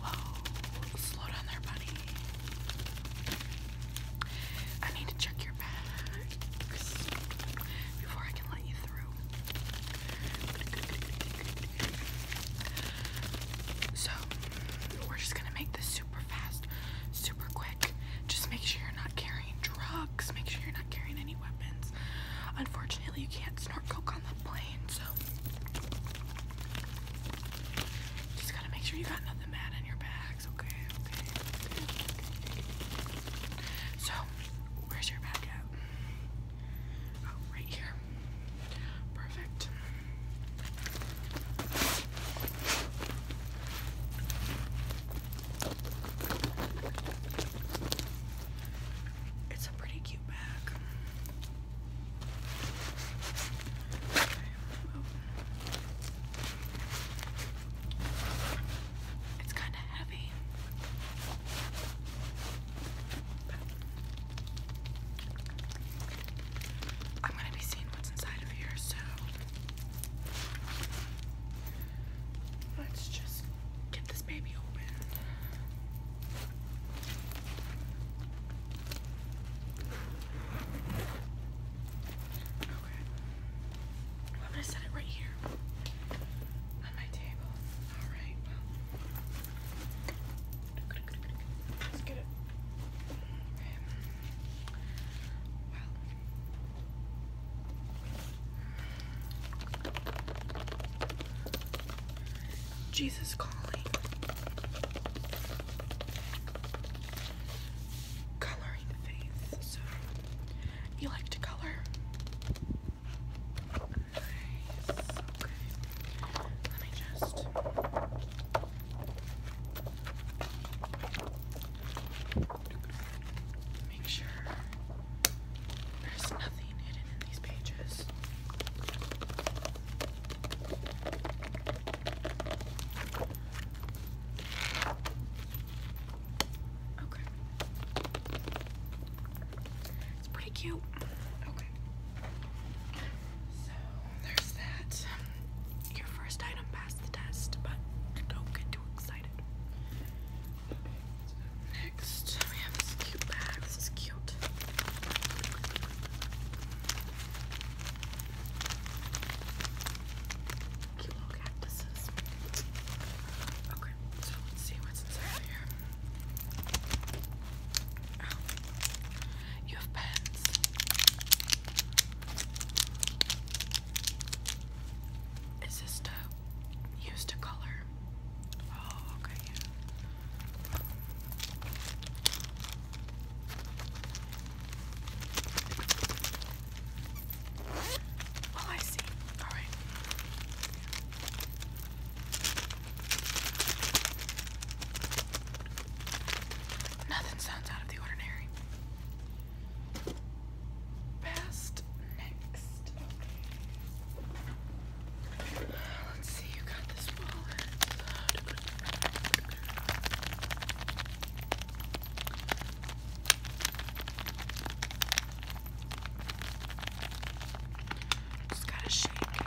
Whoa, slow down there, buddy. I need to check your bags before I can let you through. So, we're just gonna make this super fast, super quick. Just make sure you're not carrying drugs, make sure you're not carrying any weapons. Unfortunately, you can't snort coke on the plane, so just gotta make sure you got nothing bad in your bags, okay? Okay. So, where's your bag at? Oh, right here. Perfect. It's a pretty cute bag. It's kind of heavy. I'm going to be seeing what's inside of here, so let's just get this baby open. I'm gonna set it right here on my table. All right. let's get it. Jesus calling. Coloring faith. So you like to color? Let me just make sure there's no it's pretty cute. Okay. So there's that. Your first item passed the test, but don't get too excited. Next, we have this cute bag. This is cute. Cute cactuses. Okay, so let's see what's inside here. Oh, you have pens. Is this to use to color? Oh, okay, yeah. Oh, I see. All right. Nothing sounds out of the ordinary. Past next. Okay. Let's see, you got this wallet. Just gotta shake it.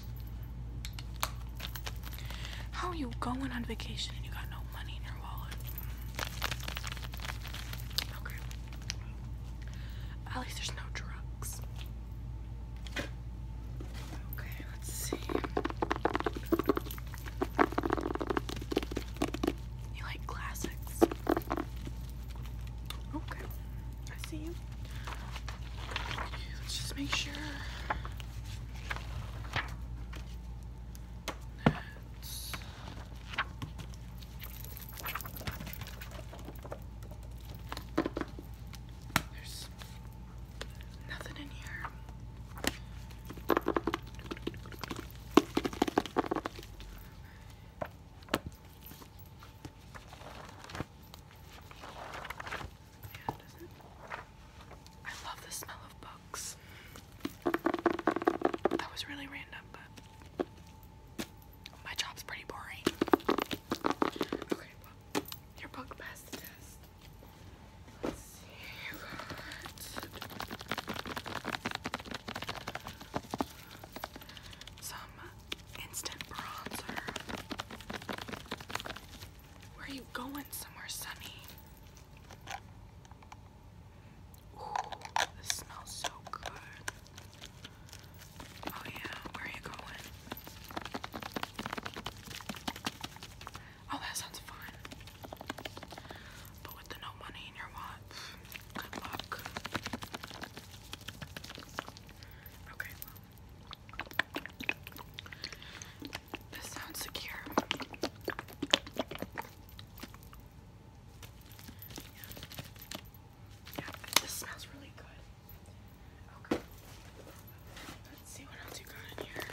How are you going on vacation and you got no money in your wallet? Okay. At least there's no drugs. Okay, let's see. You like classics? Okay. I see you. let's just make sure. There's nothing in here. I love the smell of books. That was really random, but my job's pretty boring. Okay, your book passed the test. let Instant bronzer. Where are you going? Somewhere sunny. this smells so good. Oh yeah, where are you going? Oh, that sounds fun. But with the no money in your wallet, good luck. Okay, this sounds secure. Yeah. this smells really good. Okay. Let's see what else you got in here.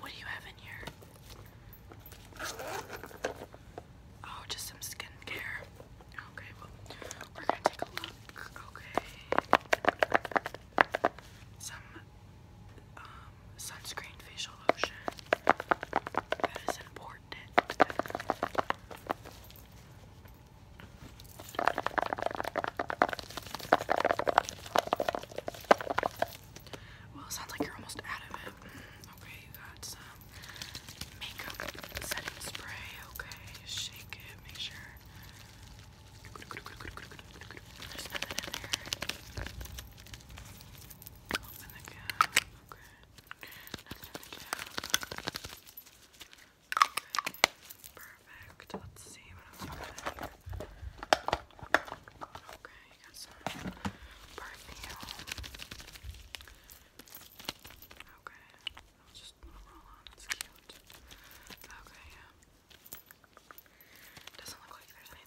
What do you have in here? Oh, just some skincare. Okay, well, we're gonna take a look. Okay. Some um, sunscreen facial lotion. That is important. Well, it sounds like you're almost out of it. Okay, you got some makeup setting spray. Okay, shake it, make sure. There's nothing in there. Open the Okay perfect. Let's see what else Okay, you got some perfume. Okay, I'll just roll on. It's cute. Okay, yeah. Doesn't look like there's anything everything in that. Okay, primer. Yeah,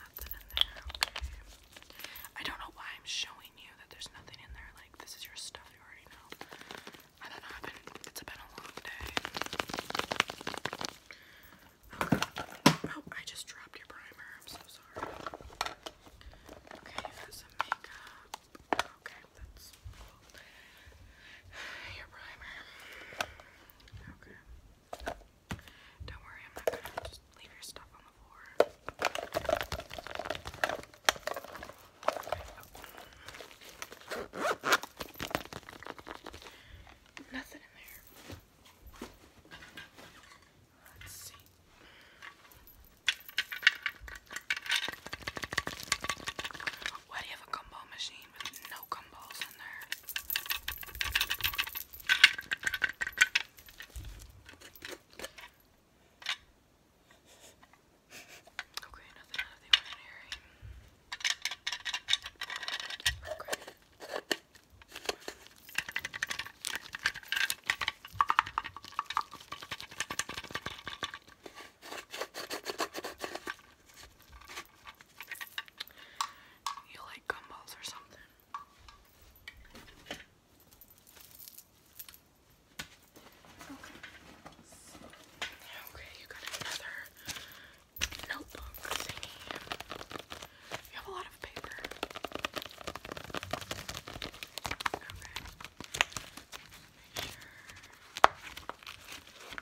nothing in there, okay. I don't know why I'm showing you that there's nothing in there, like this is your stuff you already know. I don't know, it's been a long day. Oh, oh, I just dropped your primer. I'm so sorry. Okay, some makeup. Okay, that's cool. Your primer. Okay. Don't worry, I'm not gonna just leave your stuff on the floor. Nothing in there. Let's see. Why do you have a gumball machine? machine with no gumballs in there. Okay, nothing out of the ordinary. Okay. You like gumbals or something? Okay. Okay, you got another notebook You have a lot of paper. Okay.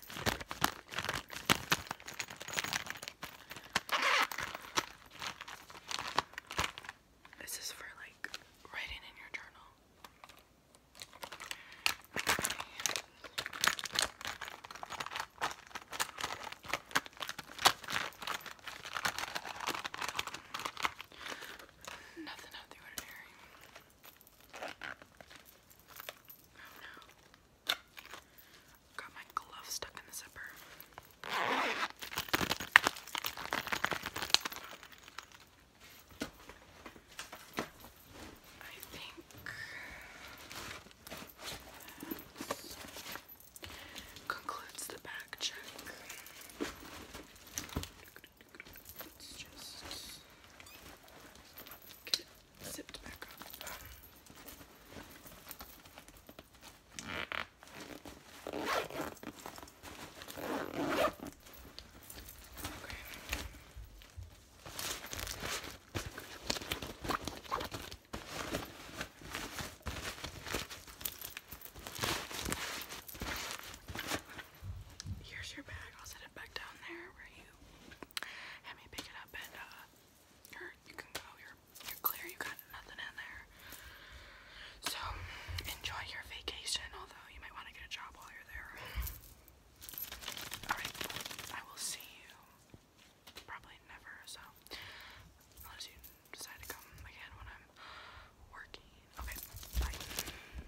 This is for like writing in your journal. Nothing out the ordinary. Oh no. Got my glove stuck in the zipper. I think that concludes the back check. Let's just get it zipped back up. Okay here's your bag. I'll set it back down there where you had me pick it up and uh, you can go, you're clear, you got nothing in there. So enjoy your vacation, although you might want to get a job while you're there. Alright, I will see you probably never, so unless you decide to come again when I'm working. Okay, bye.